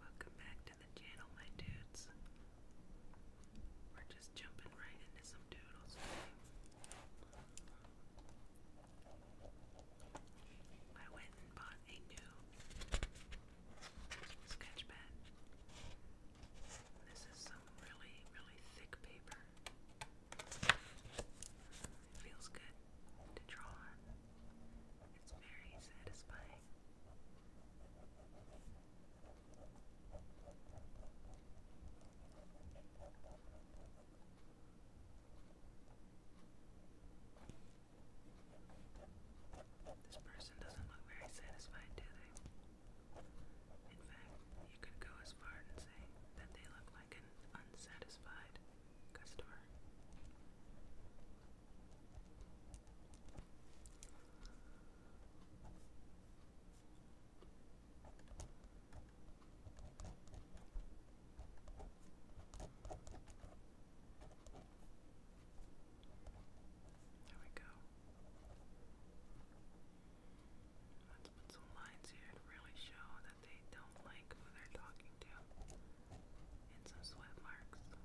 Welcome back to the channel, my dudes just jumping right into some doodles. I went and bought a new sketch pad. This is some really, really thick paper. feels good to draw on. It's very satisfying. This person doesn't look very satisfied, do they? In fact, you could go as far and say that they look like an unsatisfied customer. There we go. Let's put some lines here to really show that they don't like who they're talking to. And some sweat marks. There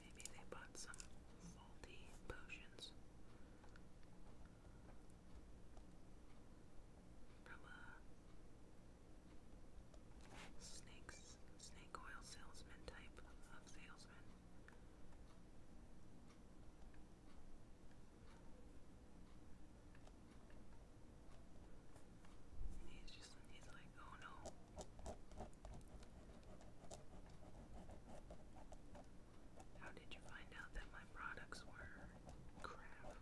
Maybe they bought some faulty potions from a uh, snakes, snake oil salesman type of salesman. And he's just, he's like, oh no. How did you find out that my products were crap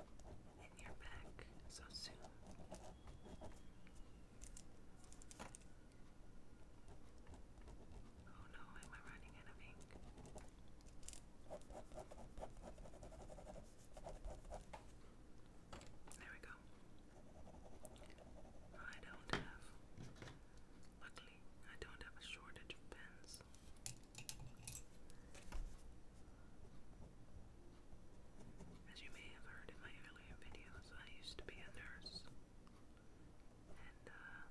and you're so soon? Oh no, am I running out of ink? There we go. I don't have, luckily, I don't have a shortage of pens. As you may have heard in my earlier videos, I used to be a nurse. And, uh,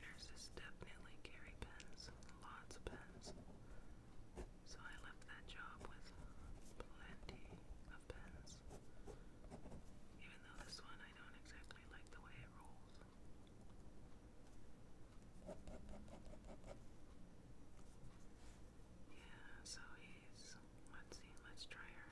nurses definitely carry pens, lots of pens. So I left that job with plenty of pens. Even though this one I don't exactly like the way it rolls. Yeah, so Let's see, let's try her.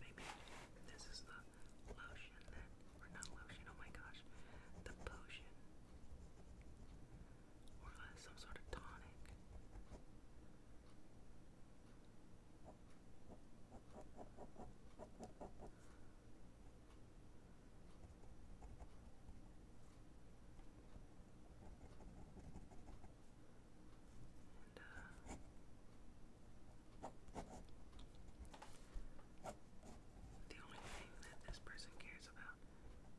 Maybe this is the lotion or not lotion, oh my gosh, the potion. Or uh, some sort of tonic the only thing that this person cares about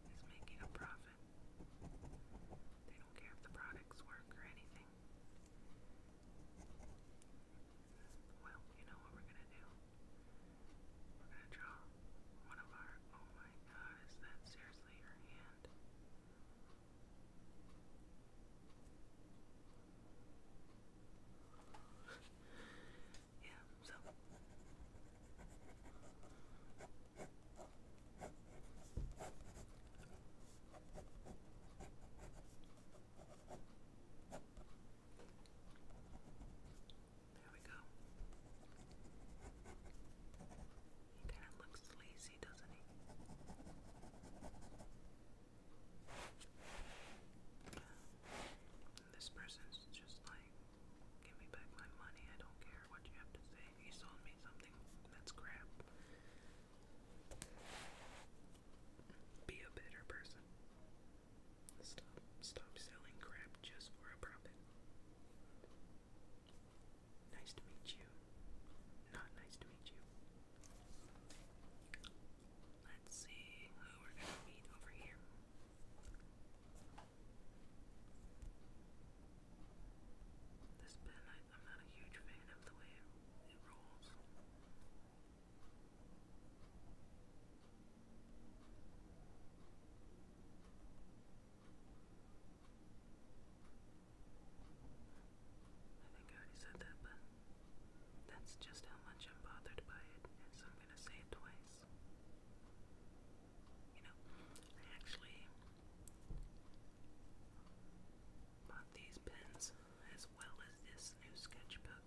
is making a profit often. They don't care if the products work or anything. Well, you know what we're gonna do? We're gonna draw one of our. Oh my god, is that seriously your hand? yeah, so. There we go. He kind of looks lazy, doesn't he? This person's just like, give me back my money, I don't care what you have to say he sold me something that's crap. Be a better person. Stop stop selling crap just for a profit. Nice to meet you. Not nice to meet you. Let's see who we're gonna meet over here. This pen, I, am not a huge fan of the way it, rolls. I think I already said that, but that's just how much I'm bothered by it, and so I'm gonna say it twice. You know, I actually Bought these pens as well as this new sketchbook.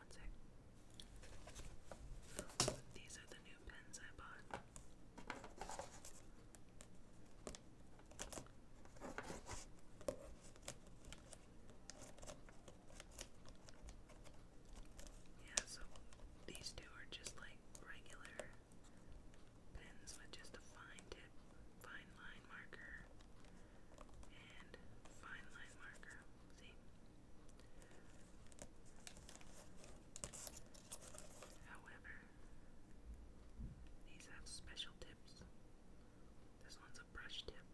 One sec. These are the new pens I bought. Yeah, so these two are just like regular pens with just a fine tip, fine line marker, and fine line marker. See? However, these have special tips. This one's a brush tip.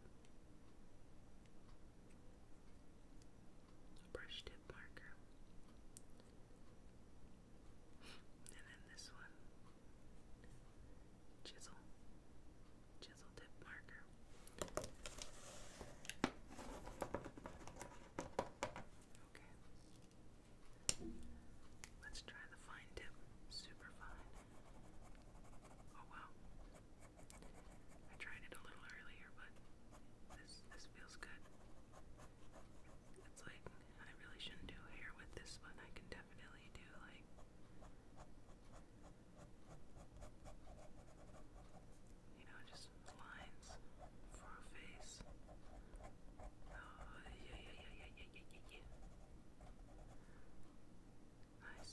brush tip marker. And then this one chisel, chisel tip marker. Okay. Let's try the fine tip, super fine. Oh wow. I tried it a little earlier, but this this feels good. It's like, I really shouldn't do hair with this one. I can definitely do like. You know, just lines for a face. Oh, yeah, yeah, yeah, yeah, yeah, yeah, yeah. Nice.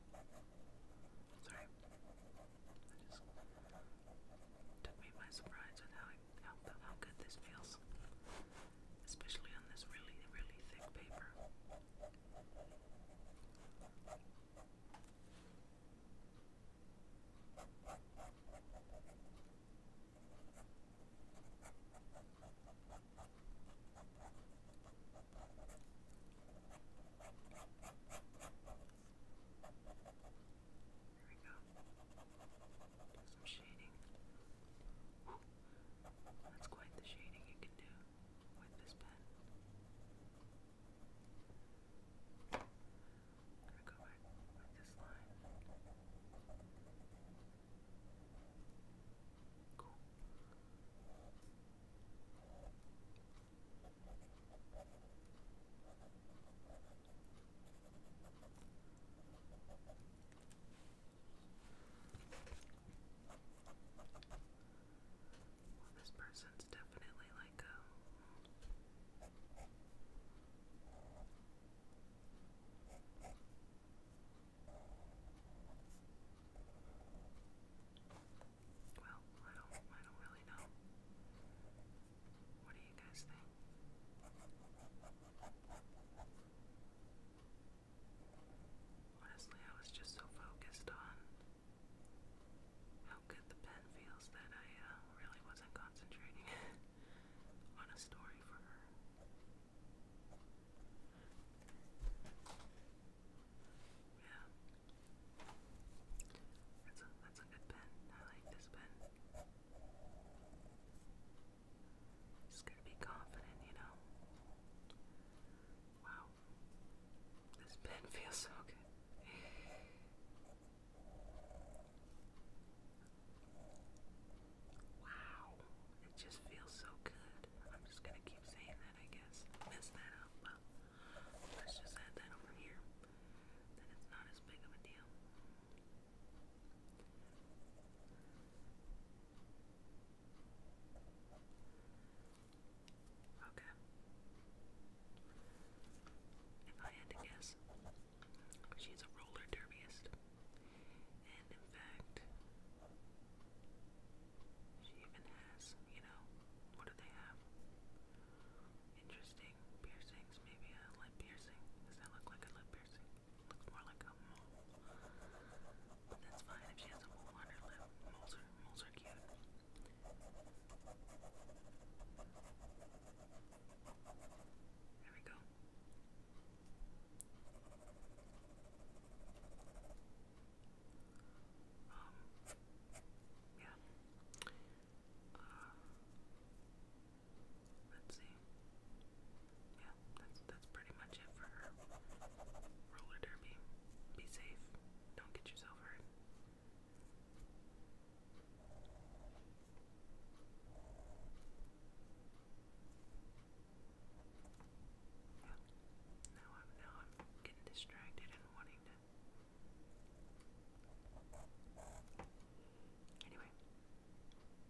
Sorry. I just took me by surprise with how, how good this feels. Especially on this really, really thick paper we go. some shading. That's quite the shading you can do with this pen. gonna go back with this line. Cool. Well, this person's definitely like a. Um, well, I don't I don't really know. What do you guys think? Honestly, I was just so focused on how good the pen feels that I uh, really wasn't concentrating on a story for her. Yeah. That's that's a good pen. I like this pen. Just gotta be confident, you know. Wow. This pen feels so good. Wow. It just feels so good. I'm just gonna keep saying that. I guess. Messed that up. Well, let's just add that over here. Then it's not as big of a deal. Okay. If I had to guess, she's a roller derbyist. And in fact, she even has, you know, what do they have? Interesting piercings, maybe a lip piercing. Does that look like a lip piercing? Looks more like a mole. that's fine if she has a mole on her lip. Moles are, moles are cute. There we go. Um, yeah. let's see. Yeah, that's that's pretty much it for roller derby. Be safe. Don't get yourself hurt now I'm now I'm getting distracted and wanting to Anyway,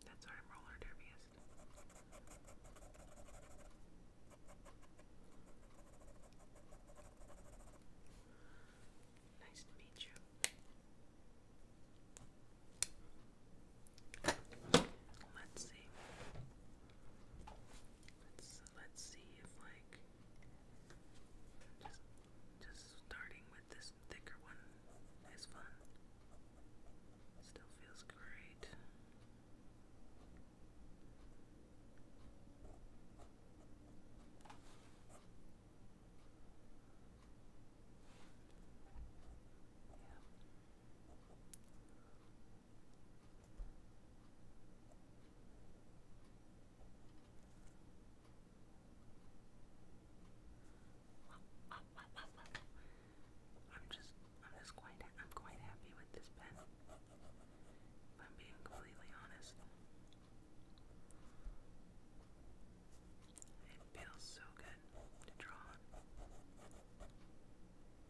that's our roller derbyist. Nice to meet you. Let's see. Let's see if like just just starting with this thicker one is fun. Still feels great. Yeah. I'm just, I'm just quite, I'm quite happy with this pen. If I'm being completely honest, it feels so good to draw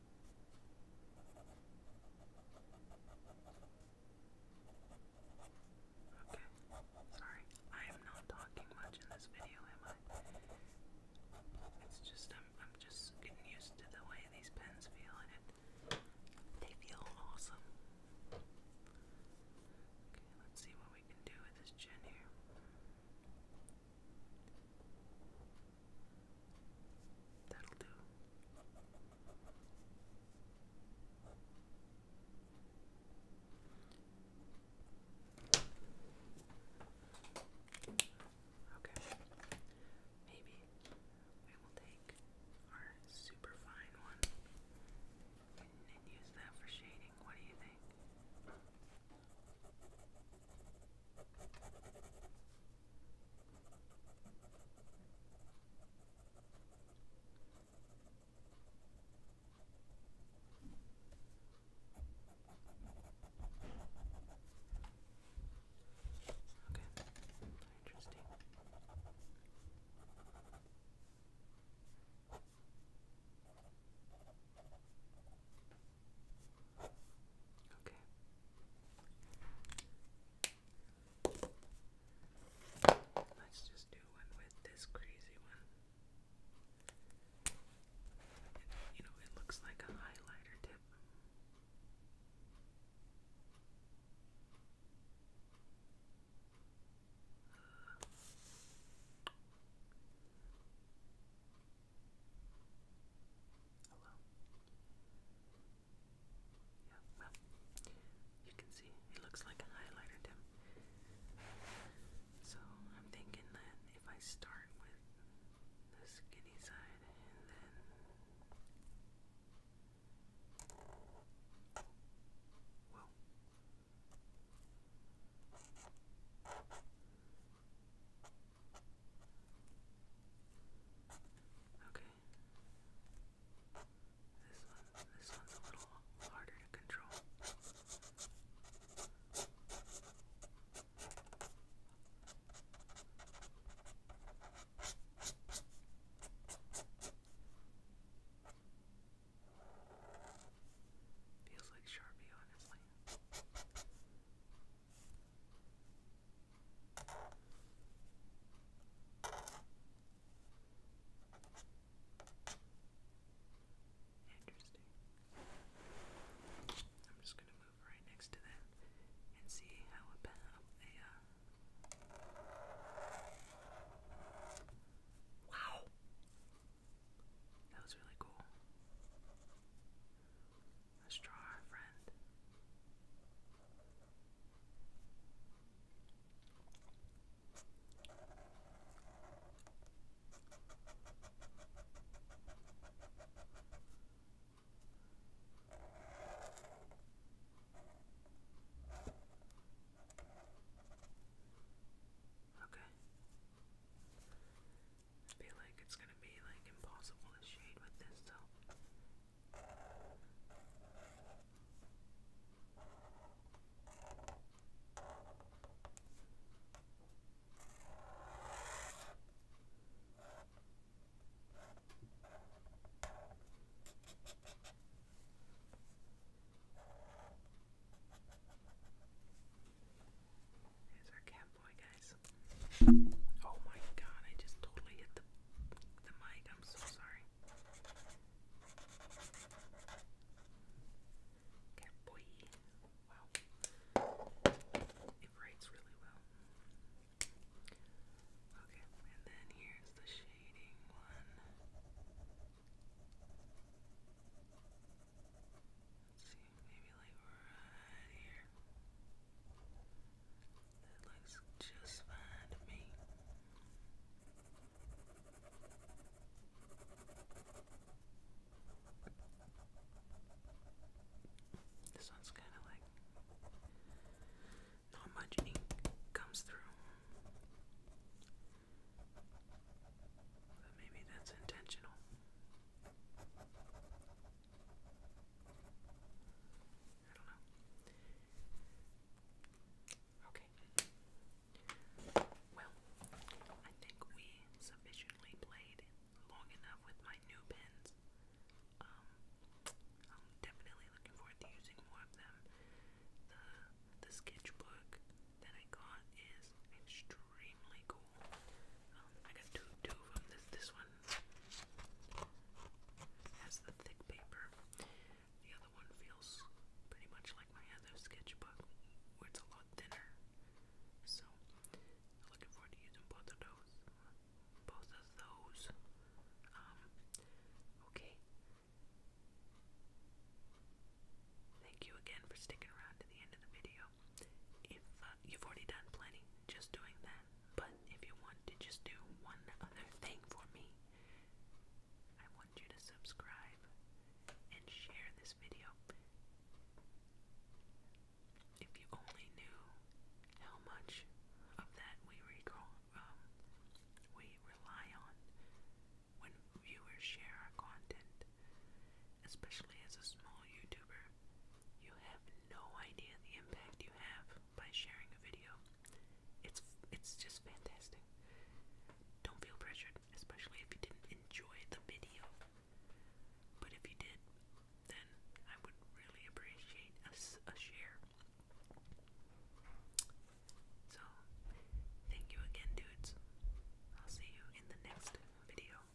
Okay, sorry, I am not talking much in this video, am I? It's just, I'm, I'm just getting used to the way these pens feel, and it, they feel awesome. Okay, let's see what we can do with this chin here. That'll do. Okay. Maybe we will take our super fine one and, use that for shading. What do you think? Okay, interesting. Okay. Let's just do one with this crazy one. you know, it looks like a highlighter tip. Hello. Yeah, well, you can see it looks like a highlighter dim. So I'm thinking that if I start with the skinny side and then Okay. This one this one's a little harder to control. Feels like Sharpie, honestly. Interesting. I'm just gonna move right next to that and see how a a Wow, that was really cool. Let's draw our friend. Okay feel like it's gonna be like impossible to shade with this so Here's our camp boy, guys. Oh my god, I just totally hit the, the mic. I'm so sorry. Cat boy. Wow. It writes really well. Okay, and then here's the shading one maybe like right here. That looks just fine to me. This one's kind of like not much ink comes through. But maybe that's intentional. I don't know. Okay. Well, I think we sufficiently played long enough with my new pins. I'm um, definitely looking forward to using more of them. The the sketchbook that I got is extremely cool. I got two, two of them. This, this one has the thick paper. The other one feels pretty much like my other sketchbook, where it's a lot thinner. So, looking forward to using both of those. Both of those. Um, okay. Thank you again for sticking around to the end of the video. If uh, you've already done plenty just doing that, but if you want to just do one other thing for me, I want you to subscribe and share this video. If you only knew how much of that we um, rely on when viewers share content, especially as a small YouTuber, you have no idea the impact you have by sharing a video. It's it's just fantastic. Don't feel pressured, especially if you didn't enjoy the video. But if you did, then I would really appreciate a, a share. So, thank you again, dudes. I'll see you in the next video.